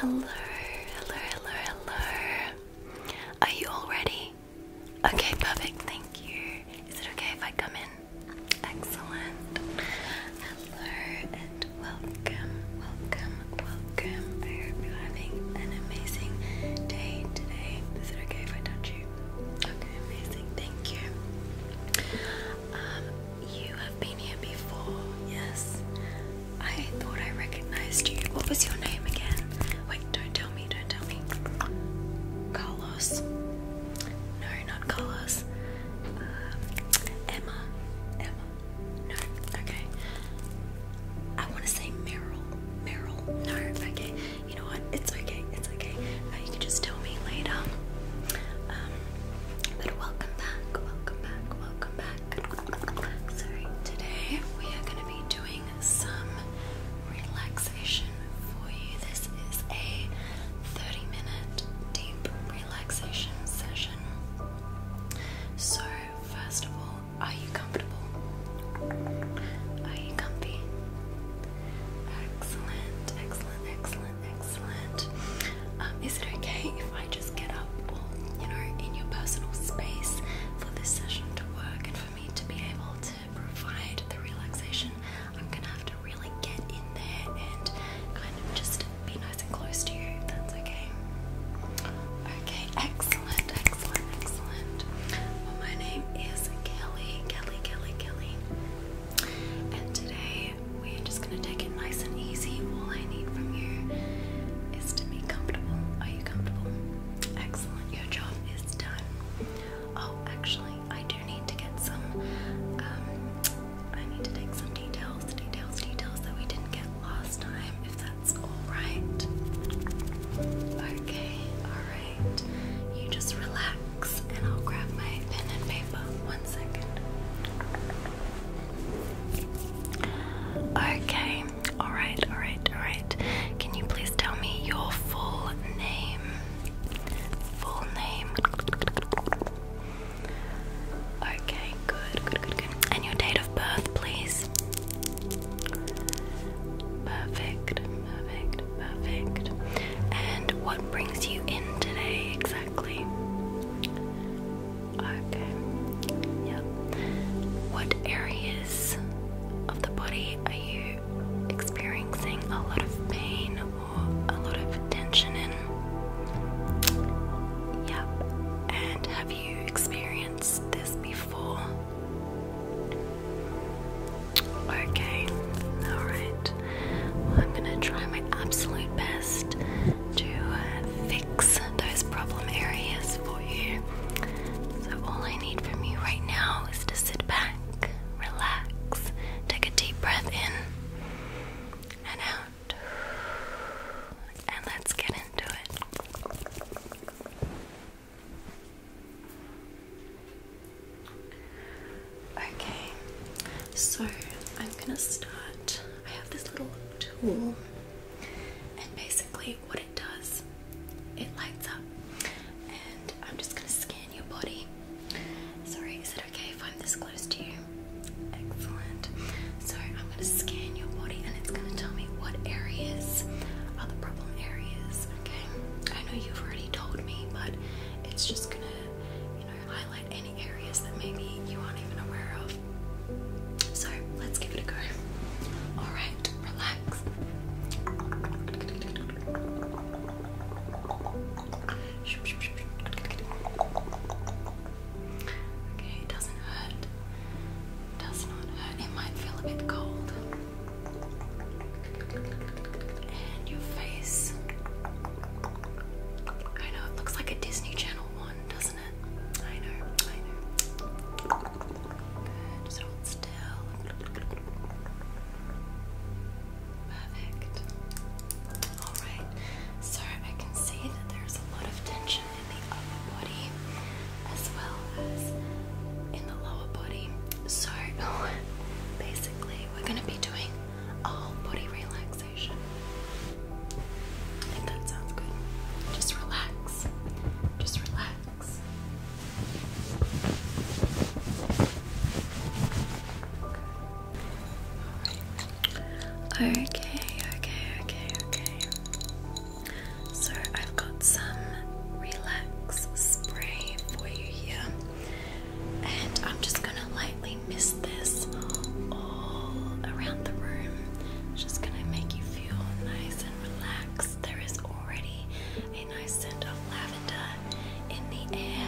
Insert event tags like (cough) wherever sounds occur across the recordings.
Hello, hello, hello, hello. Are you all ready? Okay, perfect, thank you. Is it okay if I come in? Excellent. Hello and welcome, welcome, welcome. I hope you're having an amazing day today. Is it okay if I touch you? Okay, amazing. Thank you. Um, you have been here before, yes? I thought I recognized you. What was your name again? Wait, don't tell me, don't tell me. Carlos. No, not Carlos. Um, Emma. Emma. No, okay. I want to say Meryl. Meryl. No, okay. You know what? It's okay. It's okay. Uh, you can just tell me later. Um, but welcome back. Welcome back. Welcome back. Sorry. Today we are going to be doing some relaxation for you. This is a 30 minute deep relaxation session. So, first of all, are you comfortable? Are you comfy? Excellent, excellent, excellent, excellent. Um, is it okay if I just get up, you know, in your personal space for this session to work and for me to be able to provide the relaxation? I'm gonna have to really get in there and kind of just be nice and close to you. that's okay. Okay excellent, excellent, excellent. my name is Kelly, Kelly, Kelly, Kelly. And today we're just gonna take it nice and easy. All I need from you is to be comfortable. Are you comfortable? Excellent, your job is done. Oh, actually, I do need to get some, um, I need to take some details, details, details that we didn't get last time, that's alright. Okay, alright. You just relax and I'll grab my pen and paper. One second. Okay, alright, alright, alright. Can you please tell me your full name? Full name. Okay, good, good, good, good. And your date of birth, please. Perfect, perfect, perfect. And what brings you in today exactly? Okay, yep. What areas of the body are you experiencing a lot of pain or a lot of tension in? Yeah. And have you experienced this before? Okay, alright. I'm gonna try my absolute best to uh, fix those problem areas for you. So, all I need from you right now is to sit back, relax, take a deep breath in and out, and let's get into it. Okay, so I'm gonna start. I have this little tool, and basically, what it does, it lights up, and I'm just gonna scan your body. Sorry, is it okay if I'm this close to you? Excellent. So I'm gonna scan your body and it's gonna tell me what areas are the problem areas, okay? I know you've already told me, but it's just gonna, you know, highlight any areas that maybe you aren't even aware of. So let's give it a go. Alright, relax. Okay, it doesn't hurt. It might feel a bit cold. And your face. I know it looks like a Disney Channel one, doesn't it? I know, I know. still. Perfect. Alright, so I can see that there's a lot of tension in the upper body as well as in the lower body. So (laughs) basically, we're going to be doing all body relaxation. If that sounds good, just relax. Just relax. Okay, okay, okay, okay. So I've got some relax spray for you here, and I'm just gonna lightly mist this all around the room. just gonna make you feel nice and relaxed. There is already a nice scent of lavender in the air,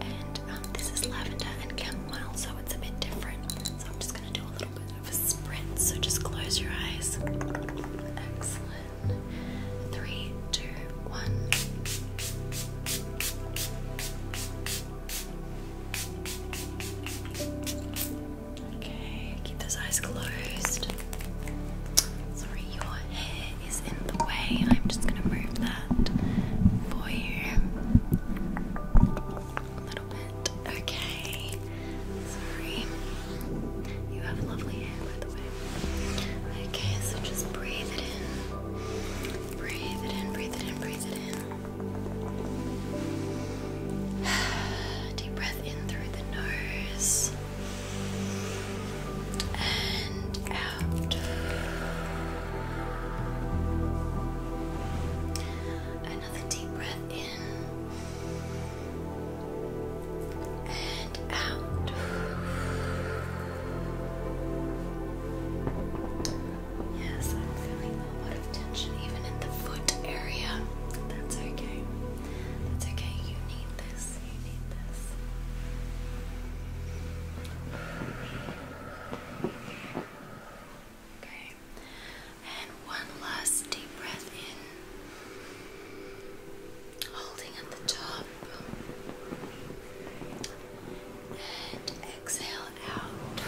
and um, this is lavender and chamomile, so it's a bit different. So I'm just do a little bit of a sprint, so just close your eyes. Excellent. Three, two, one. Okay, keep those eyes closed. Sorry, your hair is in the way. I'm just gonna move that for you. Okay. Sorry. You have lovely hair, by the way. Okay, so just breathe it in. Breathe it in, breathe it in, breathe it in. (sighs) Deep breath in through the nose. And out another deep breath in and out. Yes, I'm feeling a lot of tension even in the foot area. That's okay. That's okay. You need this. You need this. Okay. And one last deep breath in, holding at the top. And exhale out.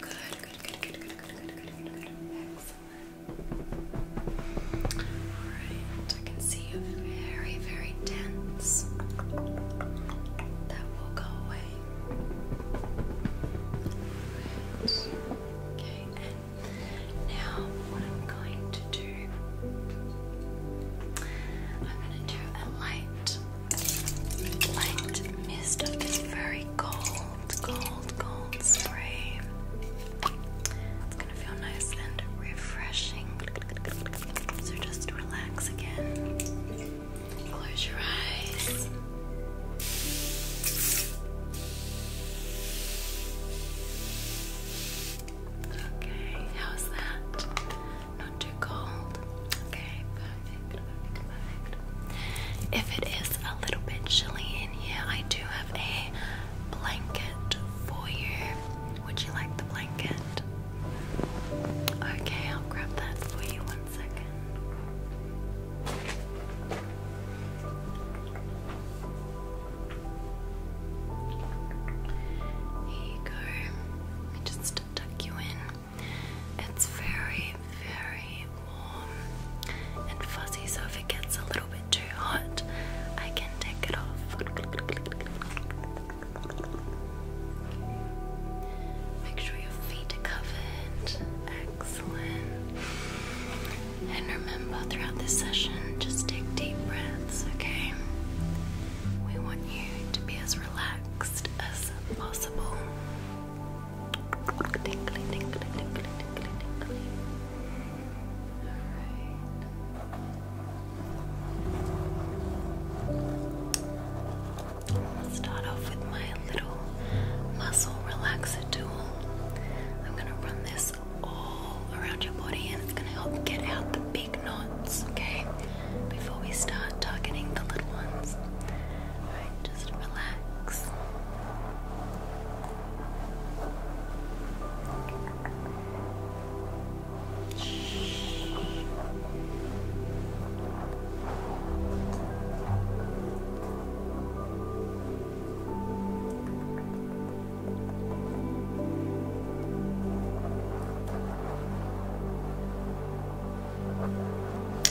Good, good, good, good, good, good, good, good, good, Excellent. Alright, I can see you very, very tense. That will go away. Right. Okay, and now what I'm going to do, I'm going to do a light, light mist of this very gold, gold, gold spray. It's going to feel nice and refreshing. So just relax again. Close your eyes. Okay, how's that? Not too cold? Okay, perfect, perfect, perfect. If it is a little bit chilly in here, I do have a blanket for you. Would you like the blanket? Okay, I'll grab that for you here you go. Let me just tuck you in. It's very, very warm and fuzzy, so if it gets a little bit too hot, I can take it off. Make sure your feet are covered. Excellent. And remember, throughout this session, just take deep breaths, okay? We want you to be as relaxed as possible i start off with my little muscle relaxer tool. I'm going to run this all around your body and it's going to help get out the big knots, okay? Before we start targeting the little ones. just relax.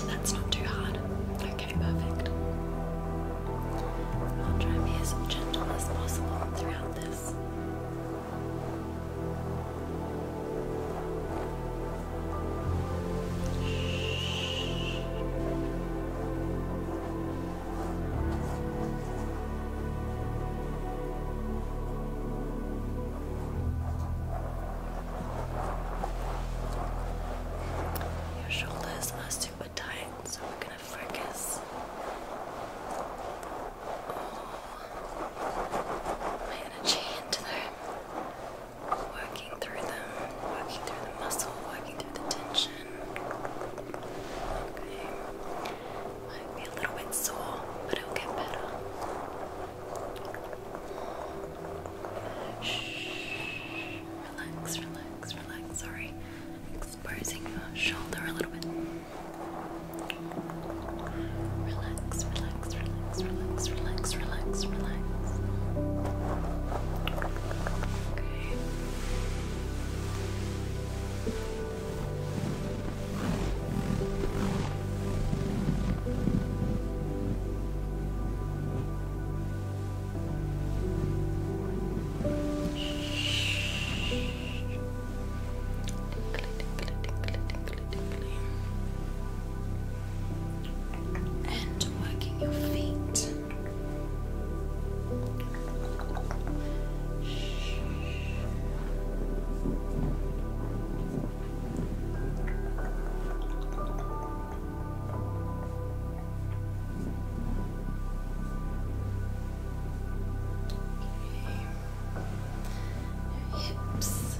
That's not too hard. Okay, perfect. I'll try and be as gentle as possible throughout this. Your shoulders are super tight, so we're going to focus all oh, my energy into them working through them, working through the muscle, working through the tension. Okay. Might be a little bit sore, but it'll get better. Shh. Relax, relax, relax. Sorry, exposing your shoulder a little bit. Relax, relax, relax, relax, relax, relax, relax. Okay. Shh. Tinkly, tinkly, tinkly, tinkly, and working your feet. hips.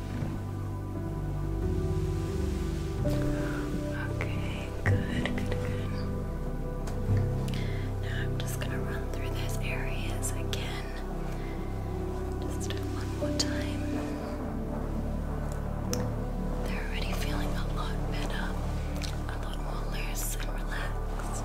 Okay, good, good, good. Now I'm just gonna run through those areas again. Just one more time. They're already feeling a lot better, a lot more loose and relaxed.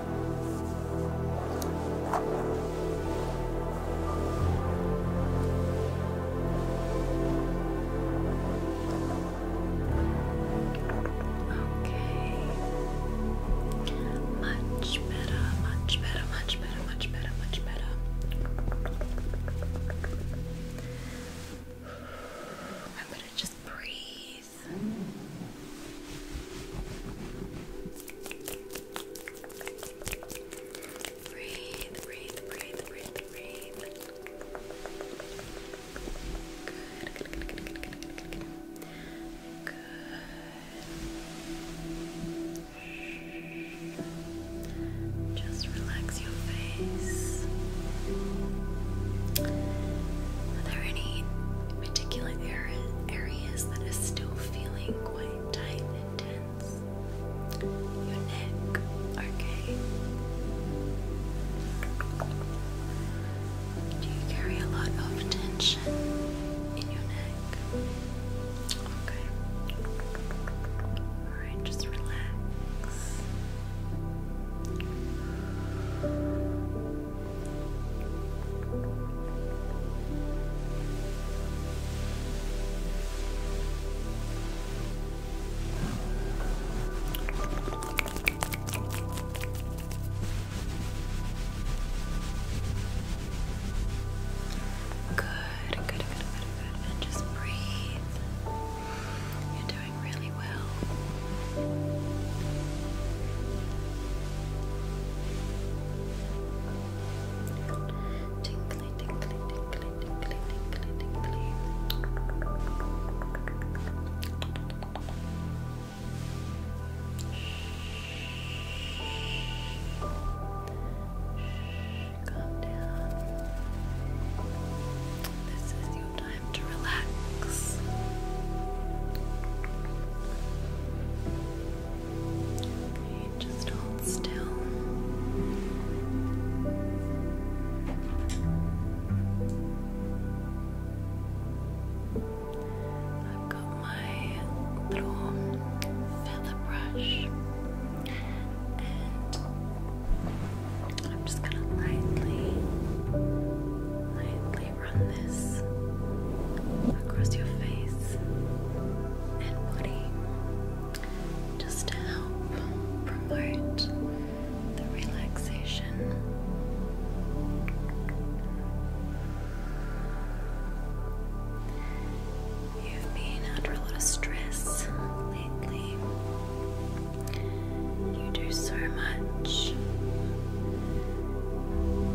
Okay. Much better, much better, much better, much better, much better. I'm gonna just breathe Breathe, breathe, breathe, breathe, breathe. Good, good, good, good, good, good, good, good. Just relax your face. Are there any particular areas that are still feeling quite tight and tense. Your neck, okay. Do you carry a lot of tension in your neck? Okay. Alright, just relax. Good, good, good, good, good. And just breathe into doing really well. Tinkly, tinkly, tinkly, tinkly, tinkly, tinkly. Calm down. This is time to relax. just hold still. I've got my little feather brush and I'm just gonna lightly, lightly run this across your face and body just to help promote the relaxation. You've been under a lot of stress lately. You do so much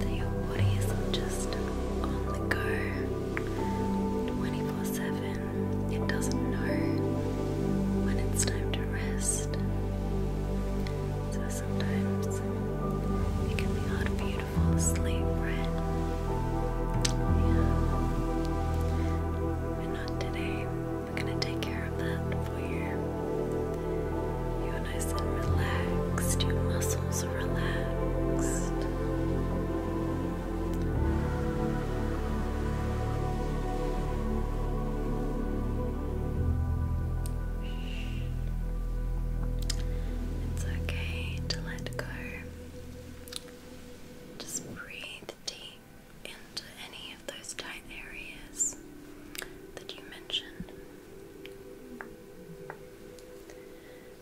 that your body is just on the go 24 7. It doesn't know when it's time to rest. So sometimes it can be hard for you to fall asleep, right? Yeah. But not today. We're gonna take care of that for you. You're nice and relaxed, your muscles are relaxed. It's okay to let go. Just breathe deep into to any of those tight areas that you mentioned.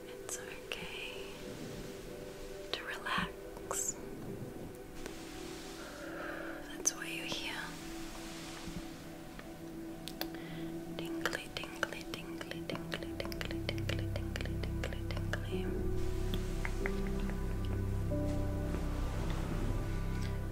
It's okay to relax. That's why you're here. Tingly, tingly, tingly, tingly, tingly, tingly, tingly, tingly, tingly.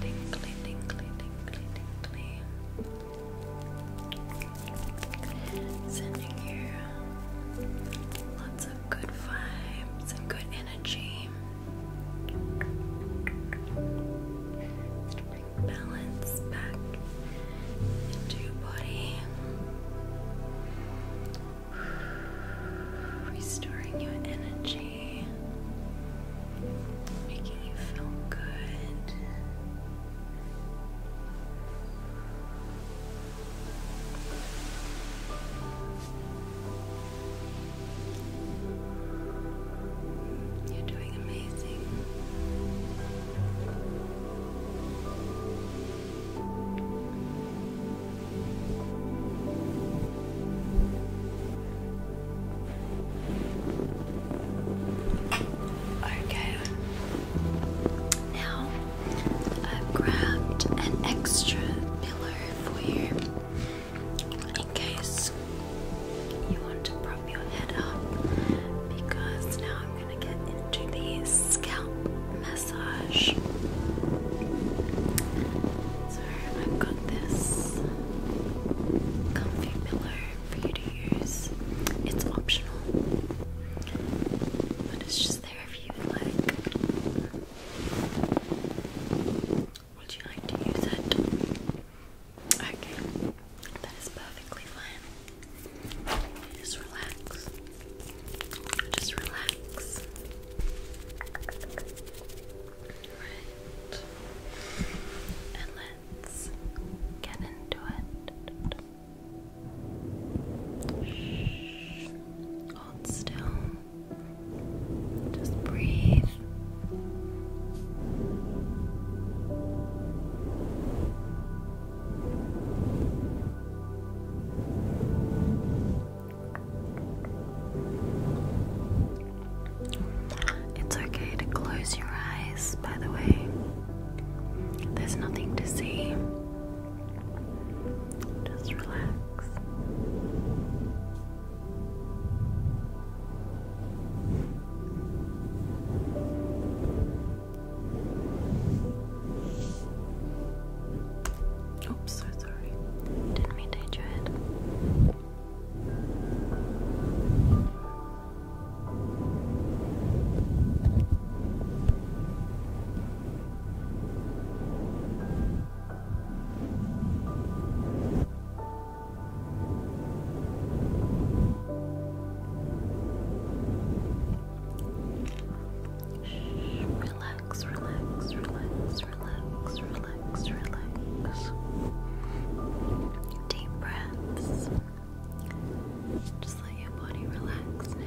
Tinkly, tinkly, tinkly, tinkly, tinkly. Sending you lots of good vibes and good energy balance back into your body, (sighs) restoring your energy, making you feel good. You're doing amazing. Okay. Now I've grabbed an extra pillow for you in case you want to prop your head up because now I'm going to get into the scalp massage. So I've got this comfy pillow for you to use. It's optional, but it's just there if you would like. Would you like to use it? Okay, that is perfectly fine. Just relax. Just relax. Right. And let's get into it. Hold still. Just breathe. It's okay to close your eyes, by the way. There's nothing to see. Just relax. Oops, sorry. Didn't mean to hit your head. Relax, relax, relax, relax, relax, relax. Deep breaths. Just let your body relax now.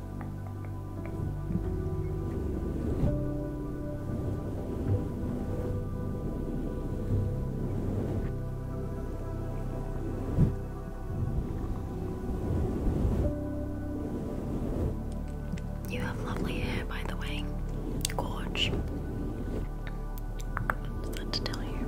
You have lovely hair, by the way. Gorge. What's to tell you?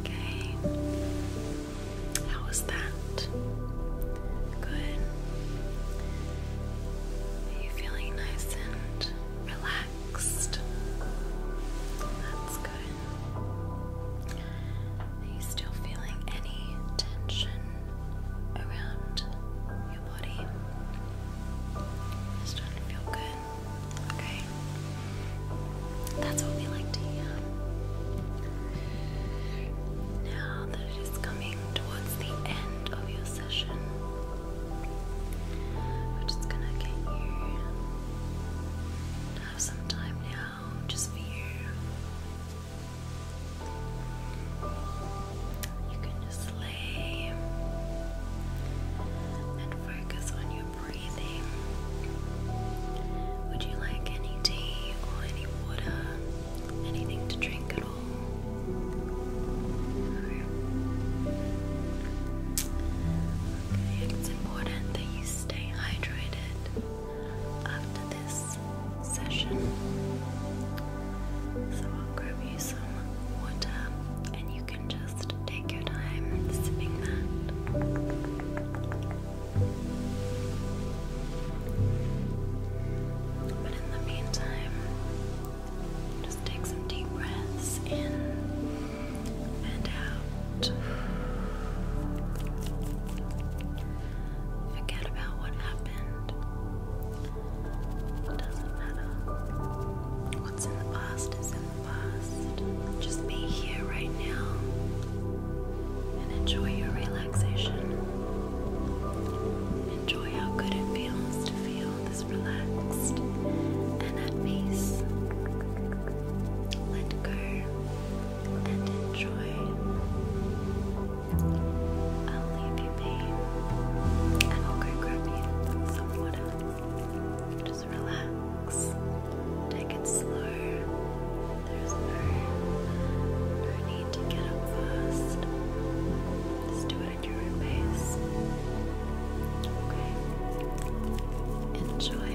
Okay. How was that? Good. Are you feeling nice and relaxed? That's good. Are you still feeling any tension around your body? It's starting to feel good. Okay? That's what we like to hear. Now that it is coming towards the end of your session, we're just gonna get you have some time now just for you. You can just lay and focus on your breathing. Would you like any tea or any water? Anything to drink at all? it's important that you stay hydrated after this session. So I'll grab you some water and you can just just take your time sipping that. But in the meantime, just take some deep breaths in and out. Forget about what happened. It doesn't matter. What's in the past is in the just be here right now and enjoy your relaxation. Enjoy how good it feels to feel this relaxed and at peace. Let go and enjoy. I'll leave you be and I'll go grab you some water relax. Take it slow. There's no need to get up fast. Just do it at your own pace. Okay. Enjoy.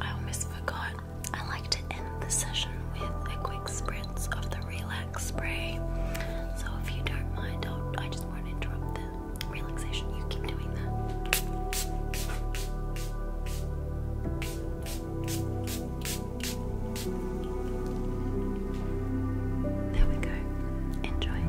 I almost forgot. I like to end the session with a quick spritz of the relax spray. So if you don't mind, I'll, just want to interrupt the relaxation. You keep doing that. There we go. Enjoy.